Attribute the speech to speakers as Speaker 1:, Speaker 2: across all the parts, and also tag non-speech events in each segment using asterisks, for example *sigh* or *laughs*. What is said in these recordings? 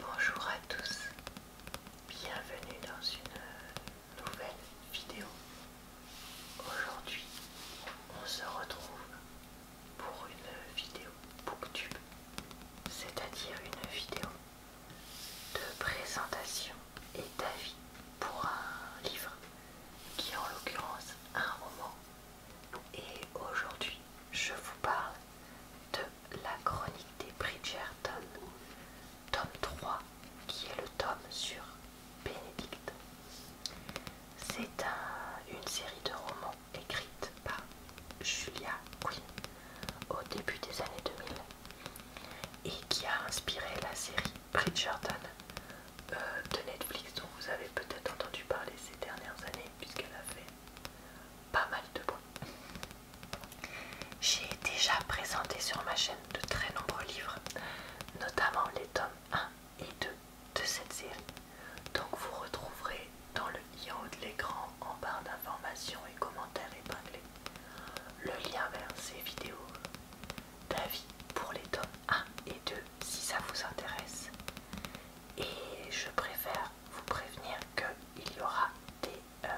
Speaker 1: Bonjour à tous, bienvenue dans une nouvelle vidéo. Aujourd'hui, on se retrouve pour une vidéo booktube, c'est-à-dire une vidéo de présentation et d'avis pour un livre qui est en l'occurrence un roman. Et aujourd'hui, je vous parle de la chronique des Bridgerton, tome 3, qui est le tome sur Bénédicte. C'est une série de romans écrite par Julia Quinn au début des années 2000 et qui a inspiré la série Bridgerton euh, de Netflix dont vous avez peut-être entendu parler ces dernières années puisqu'elle a fait pas mal de bois J'ai déjà présenté sur ma chaîne de très nombreux livres, notamment les tomes 1 et 2 de cette série. Donc vous retrouverez dans le i en haut de l'écran en barre d'informations et commentaires épinglés le lien vers ces vidéos d'avis pour les tomes 1 et 2 si ça vous intéresse et je préfère vous prévenir qu'il y aura euh,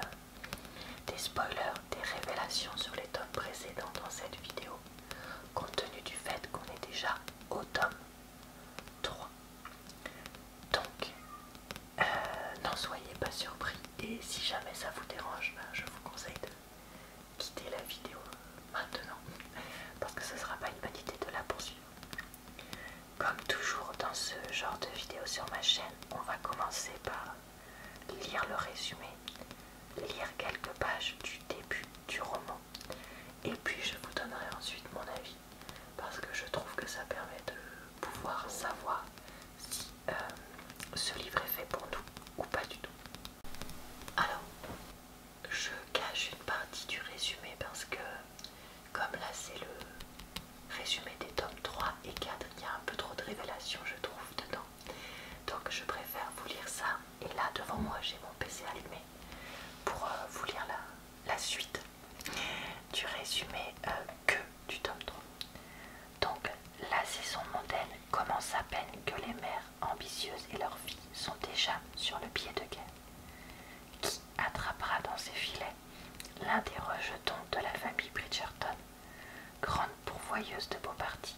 Speaker 1: des, spoilers, des révélations sur les tomes précédents dans cette vidéo, compte tenu du fait qu'on est déjà au tome 3. Donc, euh, n'en soyez pas surpris et si jamais ça vous dérange, ben, je vous conseille de quitter la vidéo maintenant parce que ce ne sera pas une bonne idée de la poursuivre. Comme toujours dans ce genre de vidéo sur ma chaîne, on va commencer par lire le résumé, lire quelques pages du début du roman, et puis je vous donnerai ensuite mon avis, parce que je trouve que ça permet de pouvoir savoir si euh, ce livre est fait pour nous ou pas du tout. Alors, je cache une partie du résumé parce que comme là c'est le résumé des tomes 3 et 4, il y a un peu trop de révélations je trouve dedans. Donc je préfère vous lire ça. Et là devant moi j'ai mon PC allumé pour euh, vous lire la, suite du résumé euh, que du tome 3. Donc la saison mondaine commence à peine que les mères ambitieuses et leurs filles sont déjà sur le pied de guerre qui attrapera dans ses filets l'un des rejetons de la famille Bridgerton, grande pourvoyeuse de beaux partis.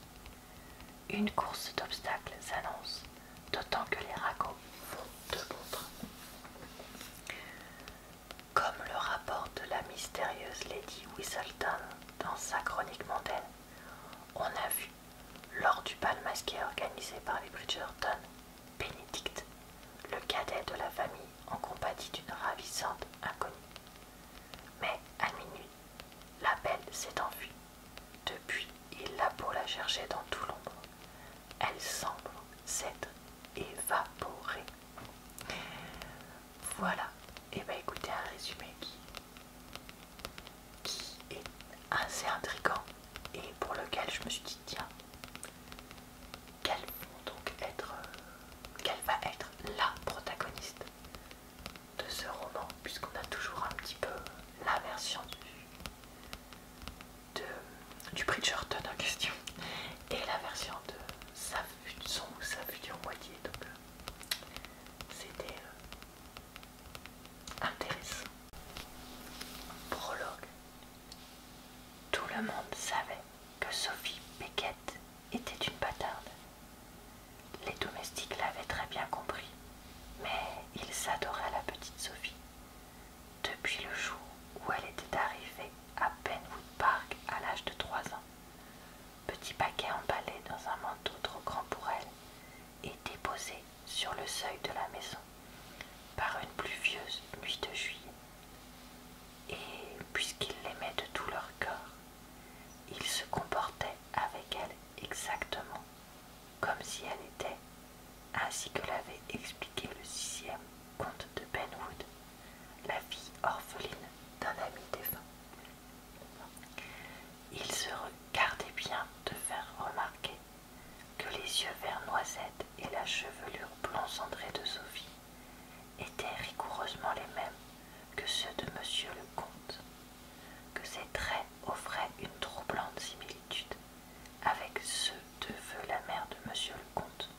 Speaker 1: Une course d'obstacles s'annonce, d'autant que les ragots font de bon Comme le rapporte la mystérieuse Lady Whistleton dans sa chronique mondaine, on a vu, lors du bal masqué organisé par les Bridgerton, Bénédicte, le cadet de la famille en compagnie d'une ravissante inconnue. Mais à minuit, la belle s'est enfuie. Depuis, il a beau la chercher dans tout l'ombre. Elle semble s'être évaporée. Voilà, et eh bien écoutez un résumé qui, qui est assez intrigant et pour lequel je me suis dit tiens, donc être, euh, qu'elle va être la protagoniste de ce roman, puisqu'on a toujours un petit peu la version du, de, Bridgerton en question et la version de sa, son ou sa future moitié. Donc, euh, c'était euh, intéressant. Prologue tout le monde savait que Sophie Beckett était une bâtarde. Les domestiques l'avaient très bien compris, mais ils adoraient la petite Sophie. Depuis le jour où elle était arrivée à Penwood Park à l'âge de trois ans, petit paquet emballé dans un manteau trop grand pour elle et déposé sur le seuil de la maison par une pluvieuse nuit de juillet. Et puisqu'ils l'aimaient de tout leur corps, ils se comportaient avec elle exactement comme si elle était, ainsi que l'avait expliqué le sixième comte de Benwood, la fille orpheline d'un ami défunt. Ils se regardaient bien de faire remarquer que les yeux verts noisettes et la chevelure blond cendrée de Sophie étaient rigoureusement les mêmes que ceux de M. le comte, que ses traits offraient une troublante similitude avec ceux de la mère de M. le comte,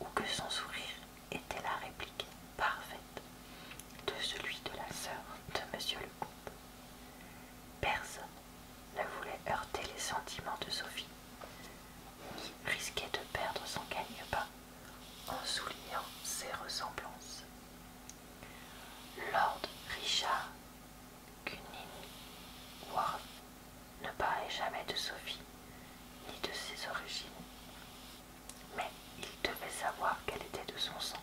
Speaker 1: ou que son sourire était la réplique parfaite de celui de la sœur de M. le comte. Personne ne voulait heurter les sentiments de Sophie, ni risquer de perdre son gagne pas en soulignant ses ressemblances. Lord Richard Cunning ne parlait jamais de Sophie ni de ses origines, mais il devait savoir qu'elle était de son sang.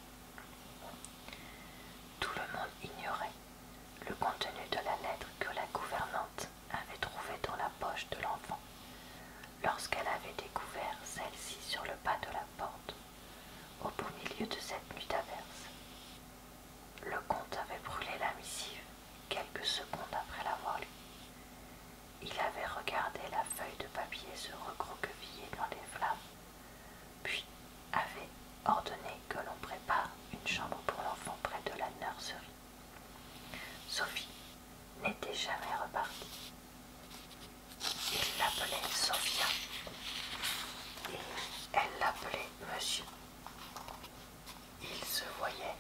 Speaker 1: Tout le monde ignorait le contenu de la lettre que la gouvernante avait trouvé dans la poche de l'enfant lorsqu'elle avait découvert celle-ci sur le pas de la porte, au beau milieu de cette nuit d'averse. Le comte avait brûlé la missive quelques secondes après l'avoir lue. Il avait regardé la feuille de papier se recroqueviller dans les flammes, puis avait ordonné que l'on prépare une chambre pour l'enfant près de la nurserie. Sophie n'était jamais repartie. Il l'appelait Sophia et elle l'appelait Monsieur. Ils se voyait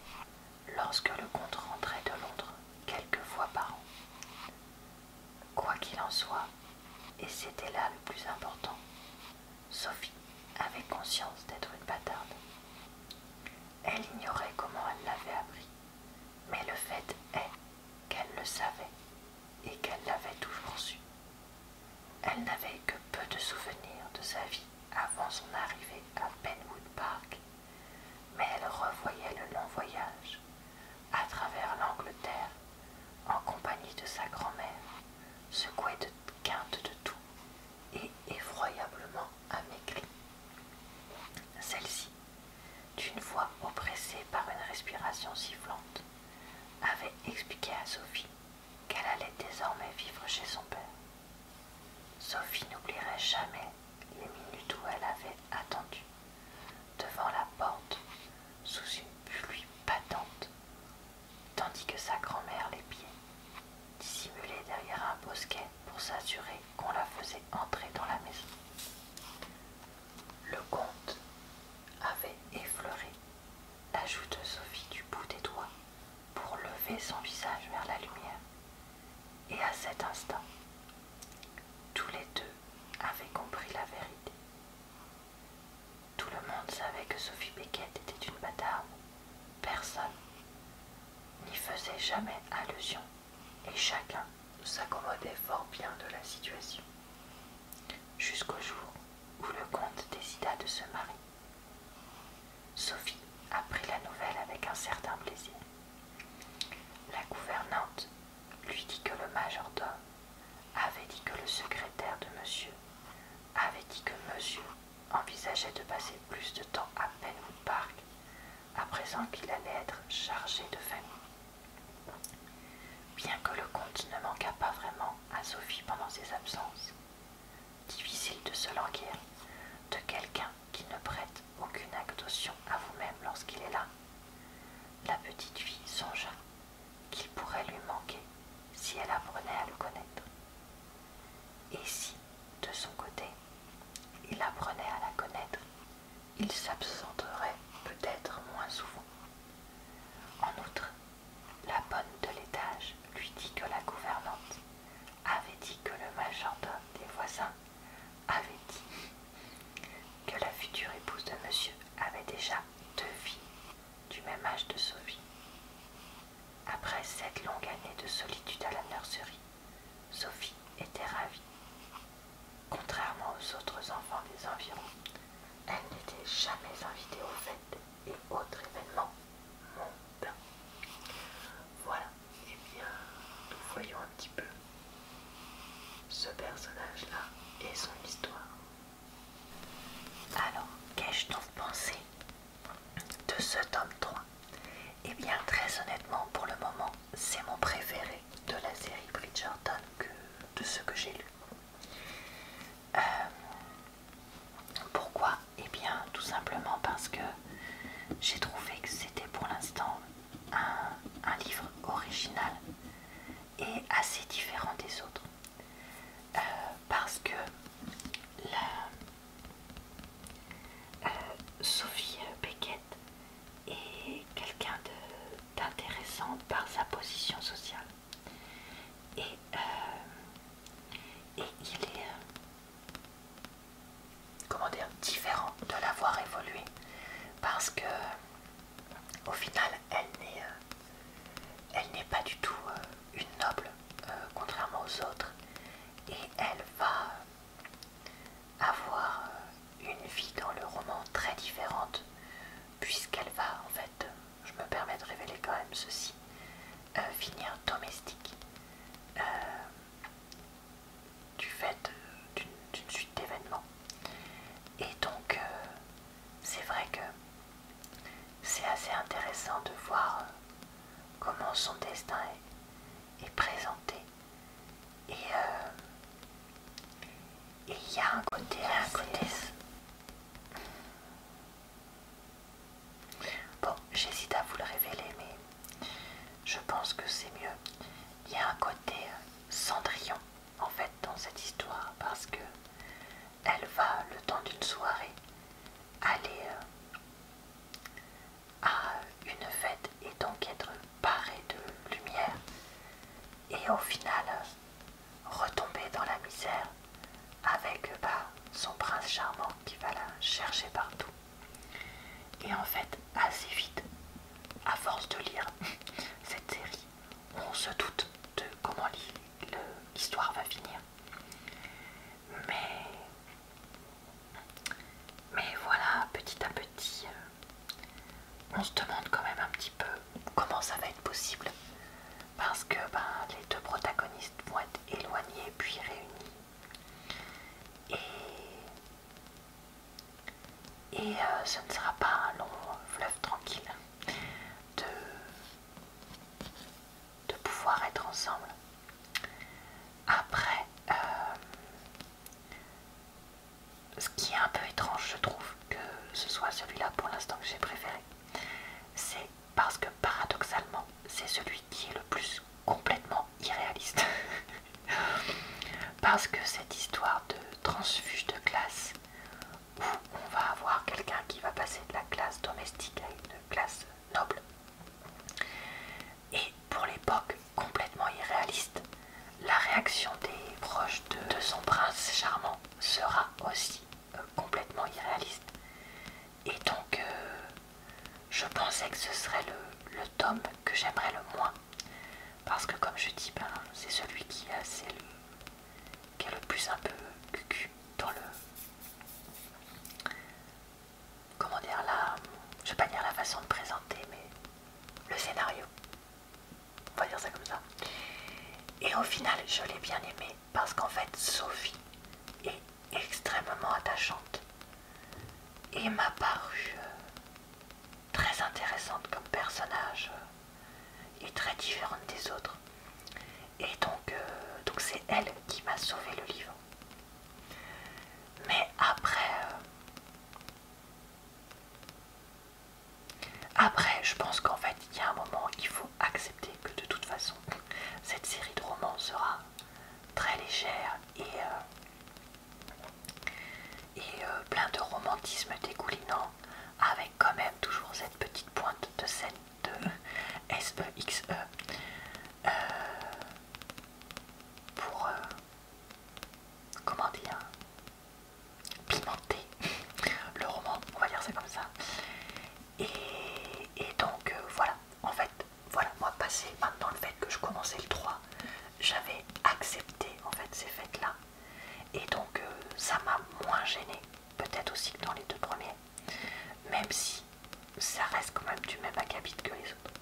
Speaker 1: lorsque le comte rentrait de Londres quelques fois par an. Quoi qu'il en soit, et c'était là le plus important, Sophie avait conscience d'être une bâtarde. Elle ignorait comment elle l'avait appris, mais le fait est qu'elle le savait et qu'elle l'avait toujours su. Elle n'avait que peu de souvenirs de sa vie avant son arrivée à Penwood Park, mais elle revoyait le long voyage à travers l'Angleterre en compagnie de sa grand-mère, secouée de quinte de tout et effroyablement amaigrie. Celle-ci, d'une voix oppressée par une respiration sifflante, avait expliqué à Sophie qu'elle allait désormais vivre chez son père. Sophie n'oublierait jamais les minutes où elle avait attendu devant la porte, sous une pluie patente, tandis que sa grand-mère les pieds, dissimulée derrière un bosquet pour s'assurer qu'on la faisait entrer dans la maison. Le comte avait effleuré la joue de Sophie du bout des doigts pour lever son visage vers la lumière. Et à cet instant, tous les deux avaient compris la vérité. Tout le monde savait que Sophie Beckett était une bâtarde, Personne n'y faisait jamais allusion et chacun s'accommodait fort bien de la situation. Jusqu'au jour où le comte décida de se marier. Sophie apprit la nouvelle avec un certain plaisir. La gouvernante lui dit que le majordome avait dit que le secrétaire de monsieur avait dit que monsieur envisageait de passer plus de temps à Penwood Park, à présent qu'il allait être chargé de famille. Bien que le comte ne manquât pas vraiment à Sophie pendant ses absences, difficile de se languir de quelqu'un qui ne prête aucune attention à vous-même lorsqu'il est là. La petite fille songea qu'il pourrait lui manquer si elle apprenait à le connaître. Et si, de son côté, il apprenait à la connaître, il s'absenterait peut-être moins souvent. En outre, la bonne de l'étage lui dit que la gouvernante avait dit que le majordome des voisins avait dit que la future épouse de monsieur avait déjà deux filles du même âge de Sophie. Après cette longue année de solitude à la nurserie, Sophie était ravie. Contrairement aux autres enfants des environs, elle n'était jamais invitée aux fêtes et autres événements mondains. Voilà, et eh bien, nous voyons un petit peu ce personnage-là et son histoire. Alors, qu'ai-je donc pensé de ce tome 3 et eh bien, très honnêtement, pour le moment, c'est mon préféré de la série Bridgerton, que, de ce que j'ai lu. Euh, pourquoi Et eh bien, tout simplement parce que j'ai trouvé que c'était pour l'instant un livre original et assez différent des autres. Euh, parce que euh, Sophie Beckett est quelqu'un d'intéressant par sa position sociale et, euh, il est différent de l'avoir évolué parce que au final elle n'est elle n'est pas du tout une noble, euh, contrairement aux autres, et elle va avoir euh, une vie dans le roman très différente, puisqu'elle va, en fait, euh, je me permets de révéler quand même ceci, finir domestique. du fait d'une suite d'événements. Et donc, c'est vrai que c'est assez intéressant de voir comment son destin est, présenté. Et euh, il y a un côté, un Bon, j'hésite à vous le révéler, mais je pense que c'est mieux. Il y a un côté euh, Cendrillon en fait dans cette histoire parce que elle va le temps d'une soirée aller euh, à une fête et donc être paré de lumière et au final euh, retomber dans la misère avec euh, bah, son prince charmant qui va la chercher partout. Et en fait, assez vite, à force de lire *laughs* cette série, on se doute de comment l'histoire va finir. Mais, voilà, petit à petit, euh, on se demande quand même un petit peu comment ça va être possible. Parce que ben, les deux protagonistes vont être éloignés puis réunis. Et, euh, ce ne sera pas un long fleuve tranquille de pouvoir être ensemble. Après, euh, ce qui est un peu étrange, je trouve que ce soit celui-là pour l'instant que j'ai préféré, c'est parce que paradoxalement, c'est celui qui est le plus complètement irréaliste. *laughs* parce que cette histoire de transfuge de classe, où on va avoir quelqu'un qui va passer de la classe domestique à une classe noble. Et pour l'époque complètement irréaliste, la réaction des proches de, son prince charmant sera aussi euh, complètement irréaliste. Et donc, euh, je pensais que ce serait le, tome que j'aimerais le moins. Parce que comme je dis, ben, c'est celui qui, a, est le, est le plus un peu cucu dans le. Comment dire là Je vais pas dire la façon de présenter, mais le scénario. On va dire ça comme ça. Et au final, je l'ai bien aimé parce qu'en fait, Sophie est extrêmement attachante et m'a paru euh, très intéressante comme personnage euh, et très différente des autres. Et euh, donc, c'est elle qui m'a sauvé le livre. Mais après, euh, après, je pense qu'en fait, il y a un moment, il faut accepter que de toute façon, cette série de romans sera très légère et, euh, plein de romantisme dégoulinant, avec quand même toujours cette petite pointe de scène de SEXE e, euh, pour, euh, comment dire, pimenter le roman, on va dire c'est comme ça. Et, donc euh, voilà, en fait, voilà, moi passé maintenant le fait que je commençais le 3, j'avais accepté en fait ces fêtes-là. Et donc ça m'a moins gêné, peut-être aussi que dans les deux premiers même si ça reste quand même du même acabit que les autres.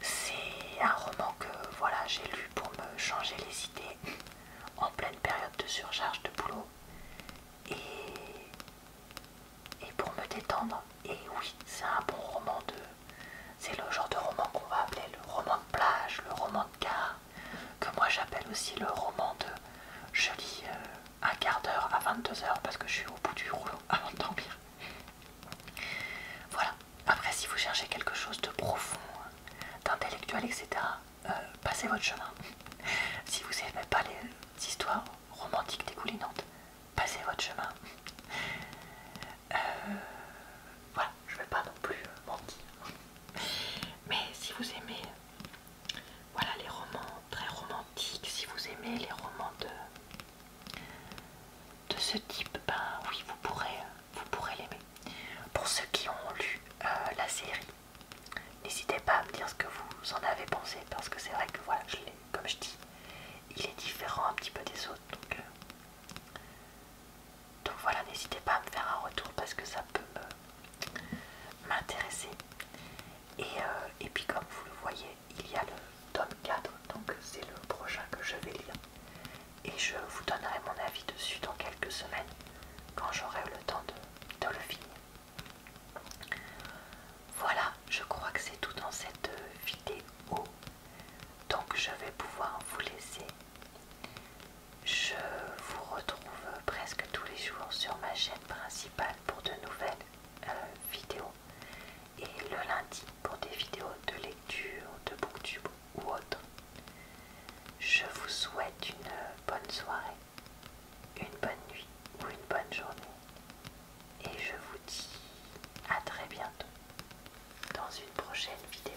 Speaker 1: C'est un roman que voilà, j'ai lu pour me changer les idées en pleine période de surcharge de boulot et, et pour me détendre. Et oui, c'est un bon roman de. C'est le genre de roman qu'on va appeler le roman de plage, le roman de gare, que moi j'appelle aussi le roman de. Je lis. Euh, un quart d'heure à 22h parce que je suis au bout du rouleau *laughs* avant de dormir. Voilà. Après, si vous cherchez quelque chose de profond, d'intellectuel, etc., euh, passez votre chemin. *laughs* si vous aimez pas les histoires romantiques dégoulinantes, passez votre chemin. *laughs* Euh, voilà, je vais pas non plus mentir. Mais si vous aimez voilà les romans très romantiques. Si vous aimez les romans de, ce type, ben oui, vous pourrez, vous pourrez l'aimer. Pour ceux qui ont lu euh, la série, n'hésitez pas à me dire ce que vous en avez pensé parce que c'est vrai que voilà, comme je dis, il est différent un petit peu des autres. Euh, donc voilà, n'hésitez pas à me faire un retour parce que ça peut m'intéresser. Euh, et, puis comme vous le voyez, il y a le tome 4, donc c'est le prochain que je vais lire. Et je vous donnerai mon avis dessus dans quelques semaines, quand j'aurai le temps de le finir. Voilà, je crois que c'est tout dans cette vidéo. Donc je vais pouvoir vous laisser. Je vous retrouve presque tous les jours sur ma chaîne principale pour de nouvelles euh, vidéos et le lundi pour des vidéos de lecture, de booktube ou autre. Je vous souhaite une euh, bonne soirée, une bonne nuit ou une bonne journée et je vous dis à très bientôt dans une prochaine vidéo.